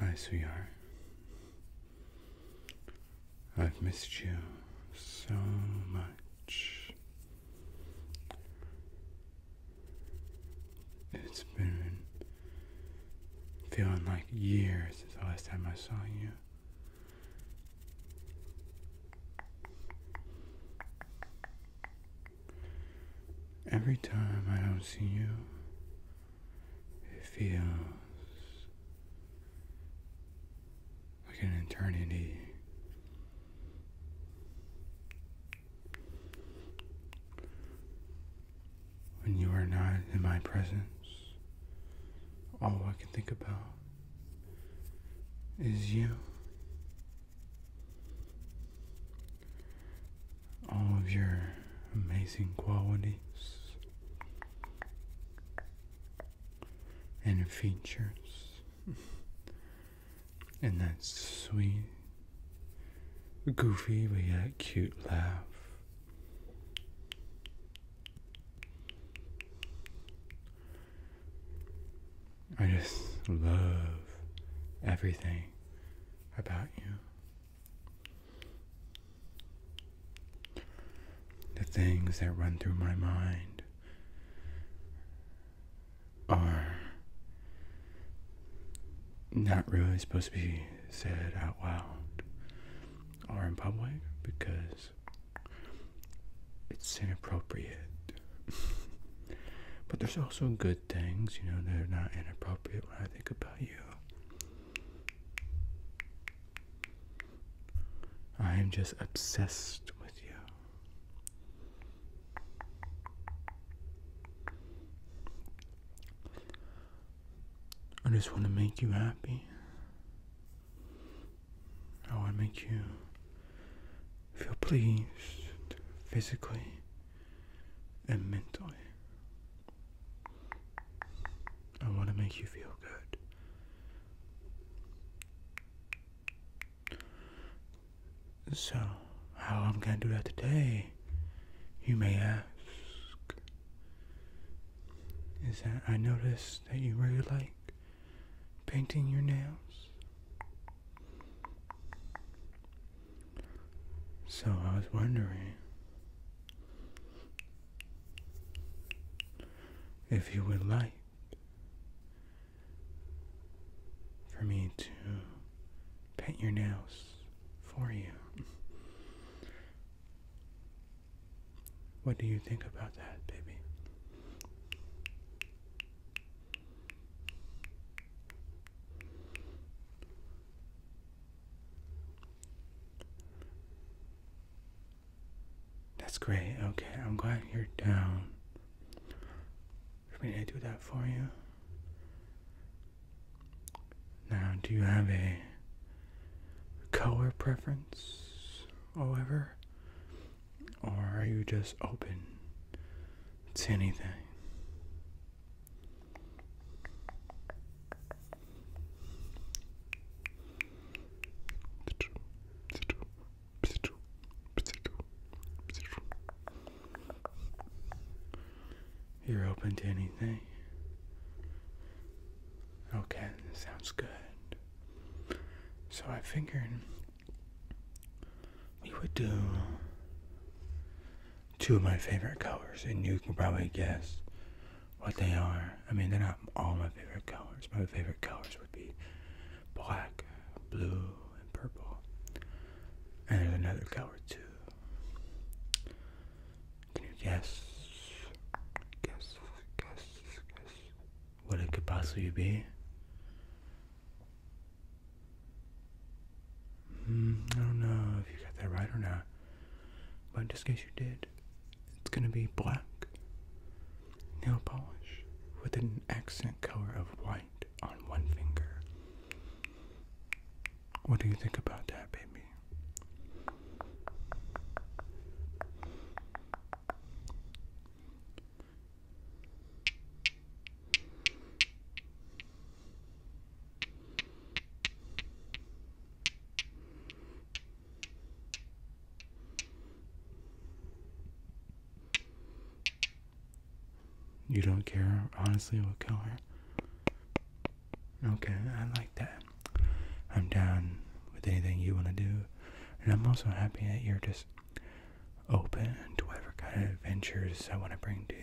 Hi, sweetheart. I've missed you so much. It's been feeling like years since the last time I saw you. Every time I don't see you, it feels like an eternity. When you are not in my presence, all I can think about is you all of your amazing qualities and features and that sweet, goofy but yet cute laugh. I just love everything about you. The things that run through my mind are not really supposed to be said out loud or in public because it's inappropriate. but there's also good things, you know, they are not inappropriate when I think about you. I am just obsessed with you. I just want to make you happy. I want to make you feel pleased physically, and mentally. I want to make you feel good. So, how I'm going to do that today, you may ask, is that I noticed that you really like painting your nails. So I was wondering if you would like for me to paint your nails for you. What do you think about that, baby? That's great. Okay, I'm glad you're down. For me to do that for you. Now, do you have a color preference, however? Or are you just open to anything? You're open to anything? Okay, sounds good. So I figured we would do two of my favorite colors, and you can probably guess what they are. I mean, they're not all my favorite colors. My favorite colors would be black, blue, and purple. And there's another color too. Can you guess? Guess, guess, guess. What it could possibly be? Mm, I don't know if you got that right or not, but just in case you did, it's gonna be black nail polish with an accent color of white on one finger. What do you think about that, baby? You don't care, honestly, what color? Okay, I like that. I'm down with anything you want to do. And I'm also happy that you're just open to whatever kind of adventures I want to bring to you.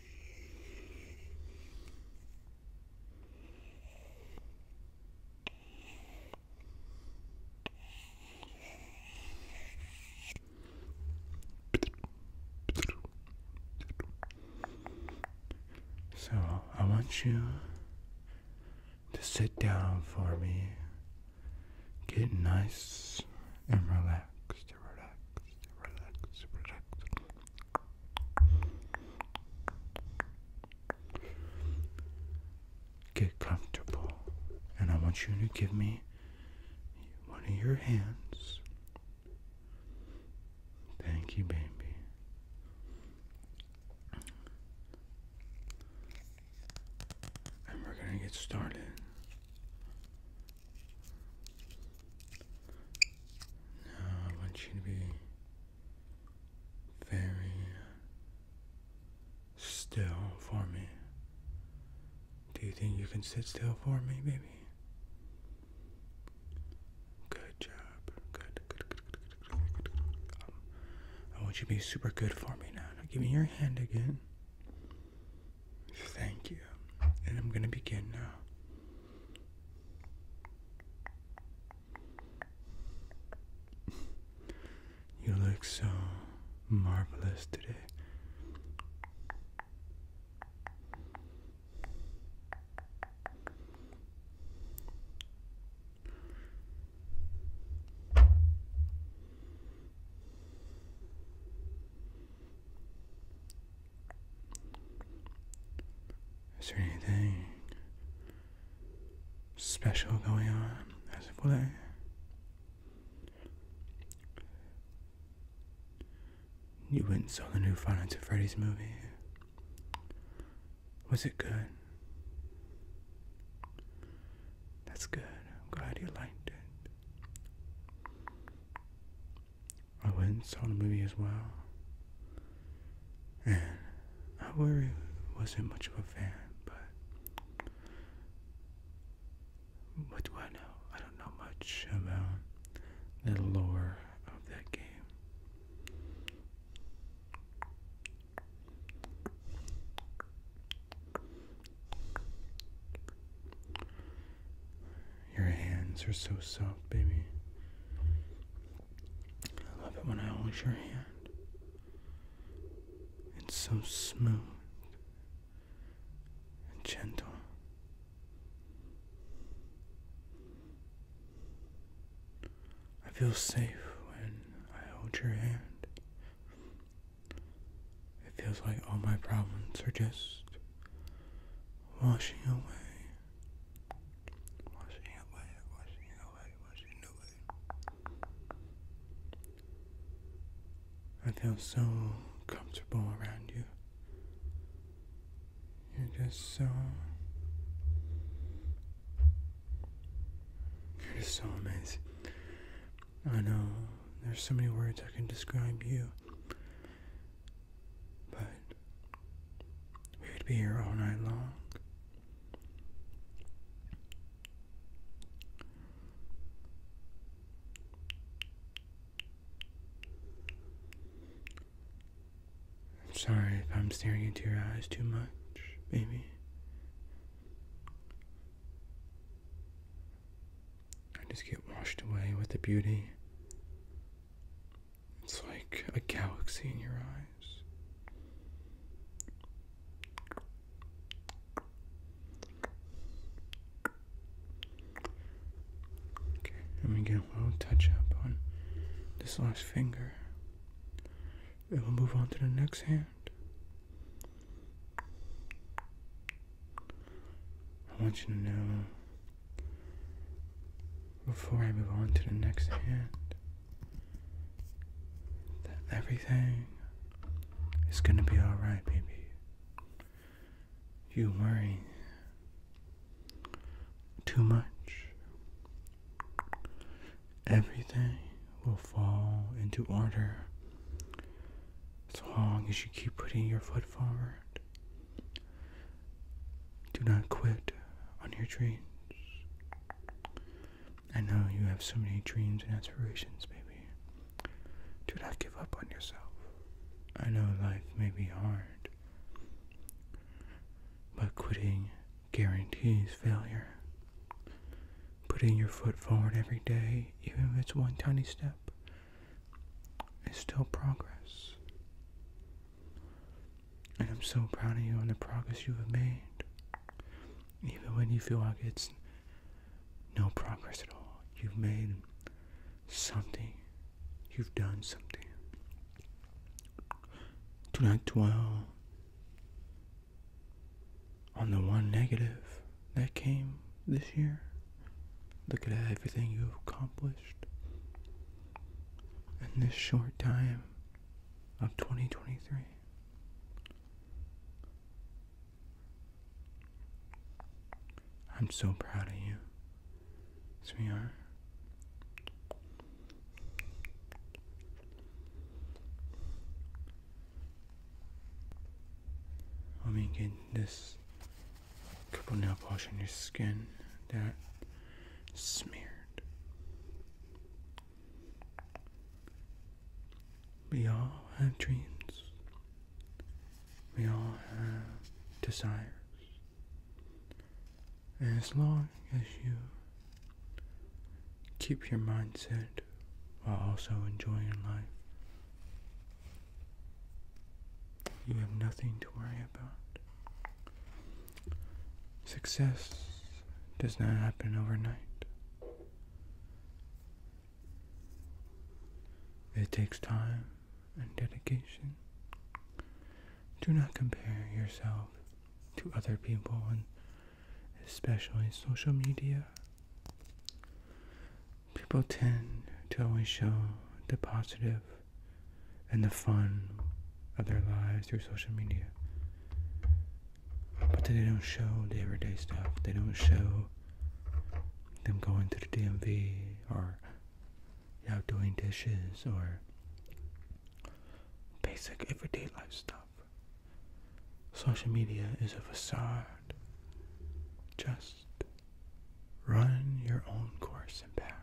So I want you to sit down for me. Get nice and relaxed, relaxed, relaxed, relaxed. Get comfortable, and I want you to give me one of your hands. Thank you, baby. And we're going to get started. Now I want you to be very still for me. Do you think you can sit still for me, baby? Good job. Good, good, good, good, good, good, good, good. Um, I want you to be super good for me now. now give me your hand again. Thank you. And I'm going to begin now you look so marvelous today. Is there anything special going on as of late? You went and saw the new Five Nights Freddy's movie. Was it good? That's good. I'm glad you liked it. I went and saw the movie as well. And I really wasn't much of a fan, but what do I know? I don't know much about the lore of that game. Your hands are so soft, baby. I love it when I hold your hand. It's so smooth and gentle. I feel safe when I hold your hand. It feels like all my problems are just washing away, washing away, washing away, washing away. I feel so comfortable around you. You're just so. You're just so amazing. I know there's so many words I can describe you. But we would be here all night long. I'm sorry if I'm staring into your eyes too much, baby. I just get washed away with the beauty. It's like a galaxy in your eyes. Okay, I'm gonna get a little touch up on this last finger. And we'll move on to the next hand. I want you to know before I move on to the next hand everything is gonna be alright, baby. You worry too much. Everything will fall into order as long as you keep putting your foot forward do not quit on your dreams. I know you have so many dreams and aspirations, baby. Do not give up on yourself. I know life may be hard, but quitting guarantees failure. Putting your foot forward every day, even if it's one tiny step, is still progress. And I'm so proud of you and the progress you have made. Even when you feel like it's no progress at all, you've made something. You've done something. Do not dwell on the one negative that came this year. Look at everything you've accomplished in this short time of 2023. I'm so proud of you, As we are, i me get this a couple nail polish on your skin that smeared. We all have dreams. We all have desires. as long as you keep your mindset while also enjoying life, you have nothing to worry about. Success does not happen overnight. It takes time and dedication. Do not compare yourself to other people and especially social media people tend to always show the positive and the fun of their lives through social media. But they don't show the everyday stuff. They don't show them going to the DMV or you know, doing dishes or basic everyday life stuff. Social media is a facade. Just Run your own course and path.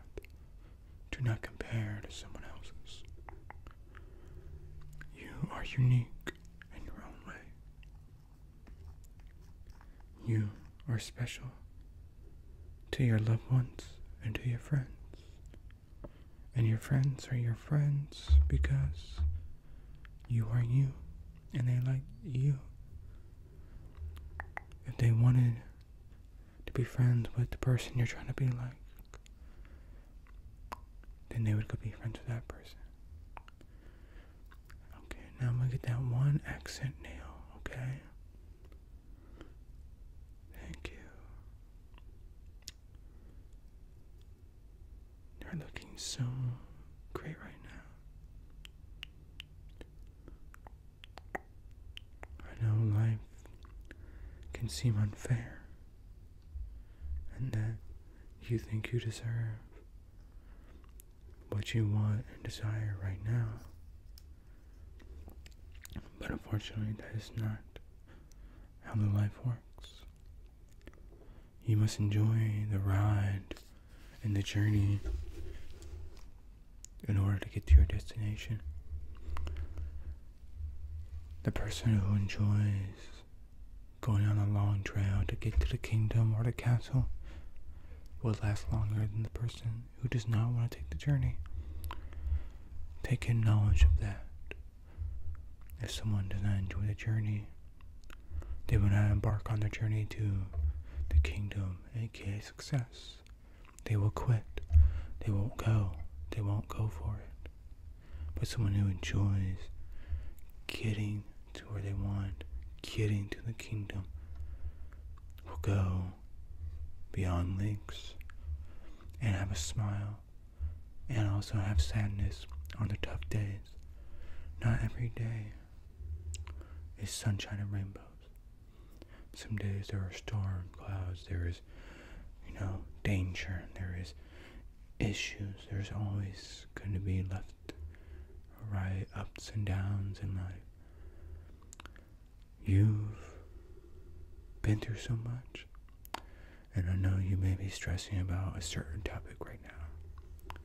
Do not compare to someone else's. You are unique in your own way. You are special to your loved ones and to your friends. And your friends are your friends because you are you and they like you if they wanted to be friends with the person you're trying to be like, then they would go be friends with that person. Okay, now I'm gonna get that one accent nail, okay? Thank you. They're looking so great right now. I know life can seem unfair, and that you think you deserve what you want and desire right now. But unfortunately, that is not how the life works. You must enjoy the ride and the journey in order to get to your destination. The person who enjoys going on a long trail to get to the kingdom or the castle will last longer than the person who does not want to take the journey. Take in knowledge of that. If someone does not enjoy the journey, they will not embark on their journey to the kingdom, aka success. They will quit. They won't go. They won't go for it. But someone who enjoys getting to where they want, getting to the kingdom, will go beyond links and have a smile and also have sadness on the tough days. Not every day is sunshine and rainbows. Some days there are storm clouds, there is, you know, danger, there is issues. There's always going to be left, right, ups and downs in life. You've been through so much, and I know you may be stressing about a certain topic right now.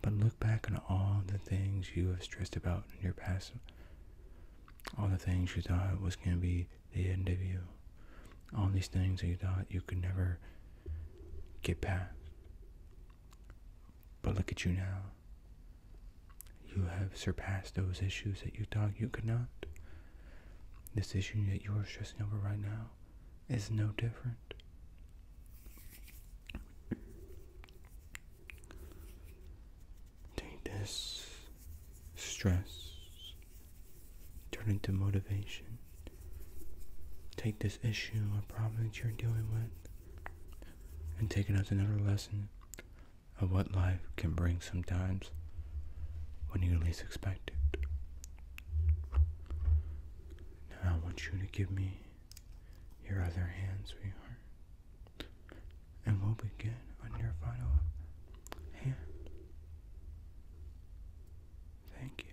But look back on all the things you have stressed about in your past. All the things you thought was going to be the end of you. All these things that you thought you could never get past. But look at you now. You have surpassed those issues that you thought you could not. This issue that you are stressing over right now is no different. Take this stress, turn it into motivation. Take this issue or problem that you're dealing with and take it as another lesson of what life can bring sometimes when you least expect it. Now I want you to give me your other hands, we are, And we'll begin on your final hand. Thank you.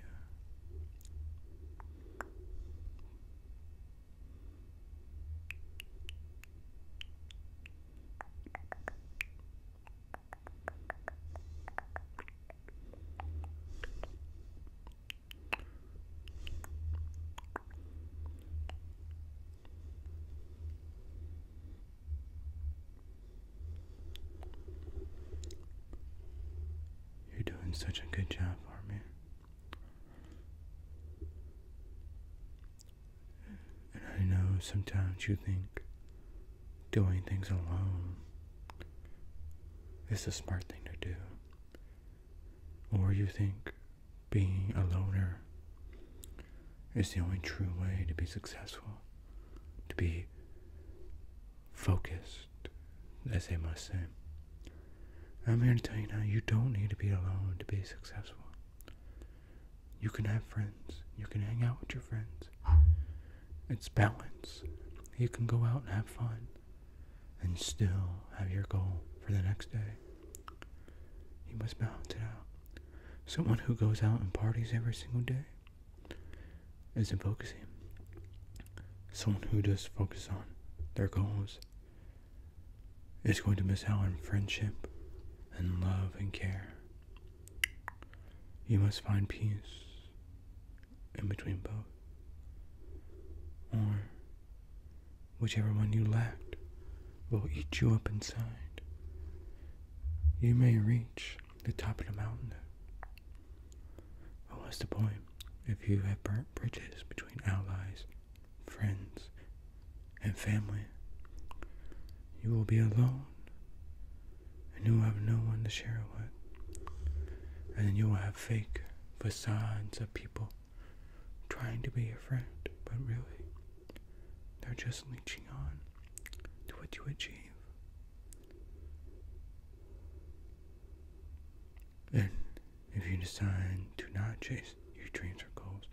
You're doing such a good job for me. And I know sometimes you think doing things alone is the smart thing to do. Or you think being a loner is the only true way to be successful, to be focused, as they must say. I'm here to tell you now, you don't need to be alone to be successful. You can have friends. You can hang out with your friends. It's balance. You can go out and have fun and still have your goal for the next day. You must balance it out. Someone who goes out and parties every single day isn't focusing. Someone who just focuses on their goals is going to miss out on friendship and love and care. You must find peace in between both. Or whichever one you lacked will eat you up inside. You may reach the top of the mountain. But what's the point if you have burnt bridges between allies, friends, and family? You will be alone and you'll have no one to share it with. And you'll have fake facades of people trying to be your friend, but really, they're just leeching on to what you achieve. And if you decide to not chase your dreams or goals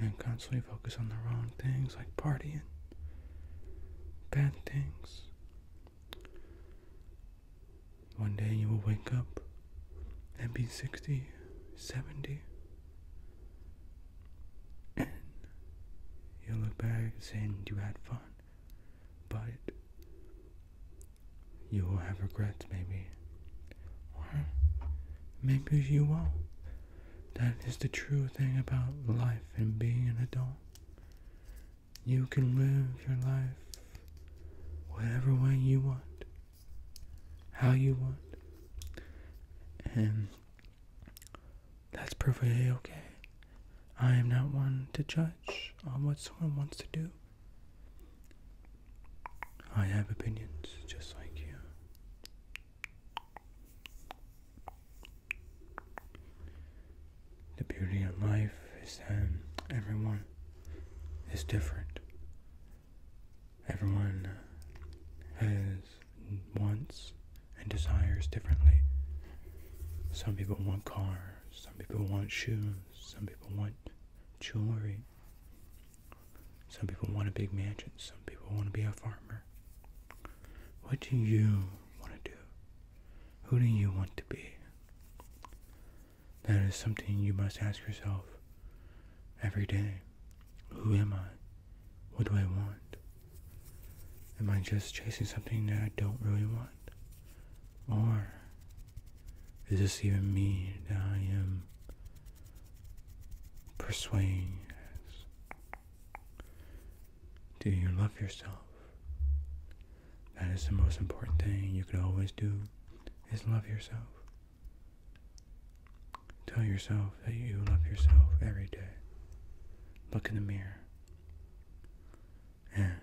and constantly focus on the wrong things like partying, bad things, one day you will wake up and be 60, 70, and you'll look back saying you had fun, but you will have regrets maybe, or maybe you won't. That is the true thing about life and being an adult. You can live your life whatever way you want, how you want, and that's perfectly okay. I am not one to judge on what someone wants to do. I have opinions just like you. The beauty of life is that everyone is different. Everyone has wants and desires differently. Some people want cars, some people want shoes, some people want jewelry. Some people want a big mansion, some people want to be a farmer. What do you want to do? Who do you want to be? That is something you must ask yourself every day. Who am I? What do I want? Am I just chasing something that I don't really want? Or is this even me that I am persuading do you love yourself? That is the most important thing you can always do is love yourself. Tell yourself that you love yourself every day. Look in the mirror and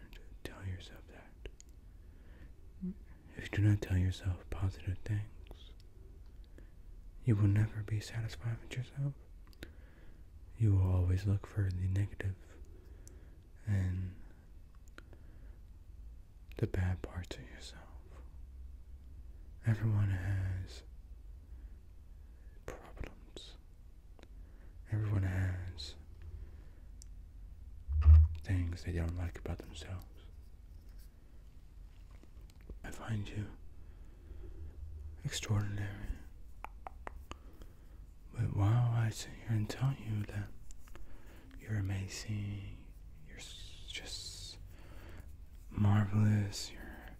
tell yourself that. If you do not tell yourself positive things, you will never be satisfied with yourself you will always look for the negative and the bad parts of yourself. Everyone has problems. Everyone has things they don't like about themselves. I find you extraordinary. But while I sit here and tell you that you're amazing, you're just marvelous, you're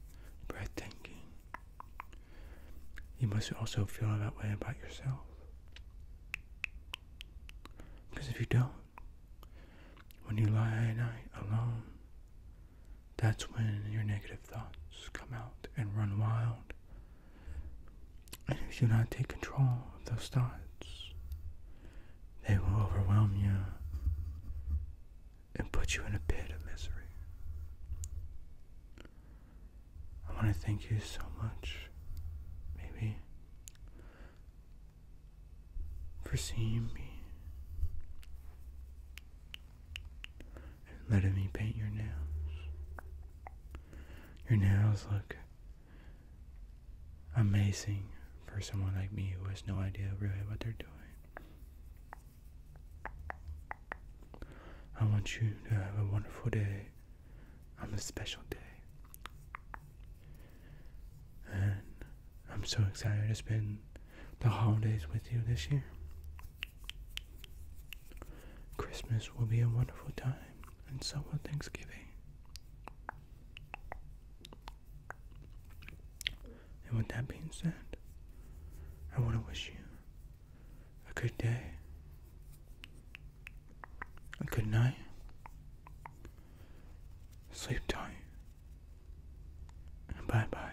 breathtaking, you must also feel that way about yourself. Because if you don't, when you lie in night alone, that's when your negative thoughts come out and run wild. And if you do not take control of those thoughts, they will overwhelm you and put you in a pit of misery. I want to thank you so much, maybe, for seeing me letting me paint your nails. Your nails look amazing for someone like me who has no idea really what they're doing. I want you to have a wonderful day I'm a special day. And I'm so excited to spend the holidays with you this year. Christmas will be a wonderful time, and so will Thanksgiving. And with that being said, I want to wish you a good day, a good night, sleep tight, and bye bye.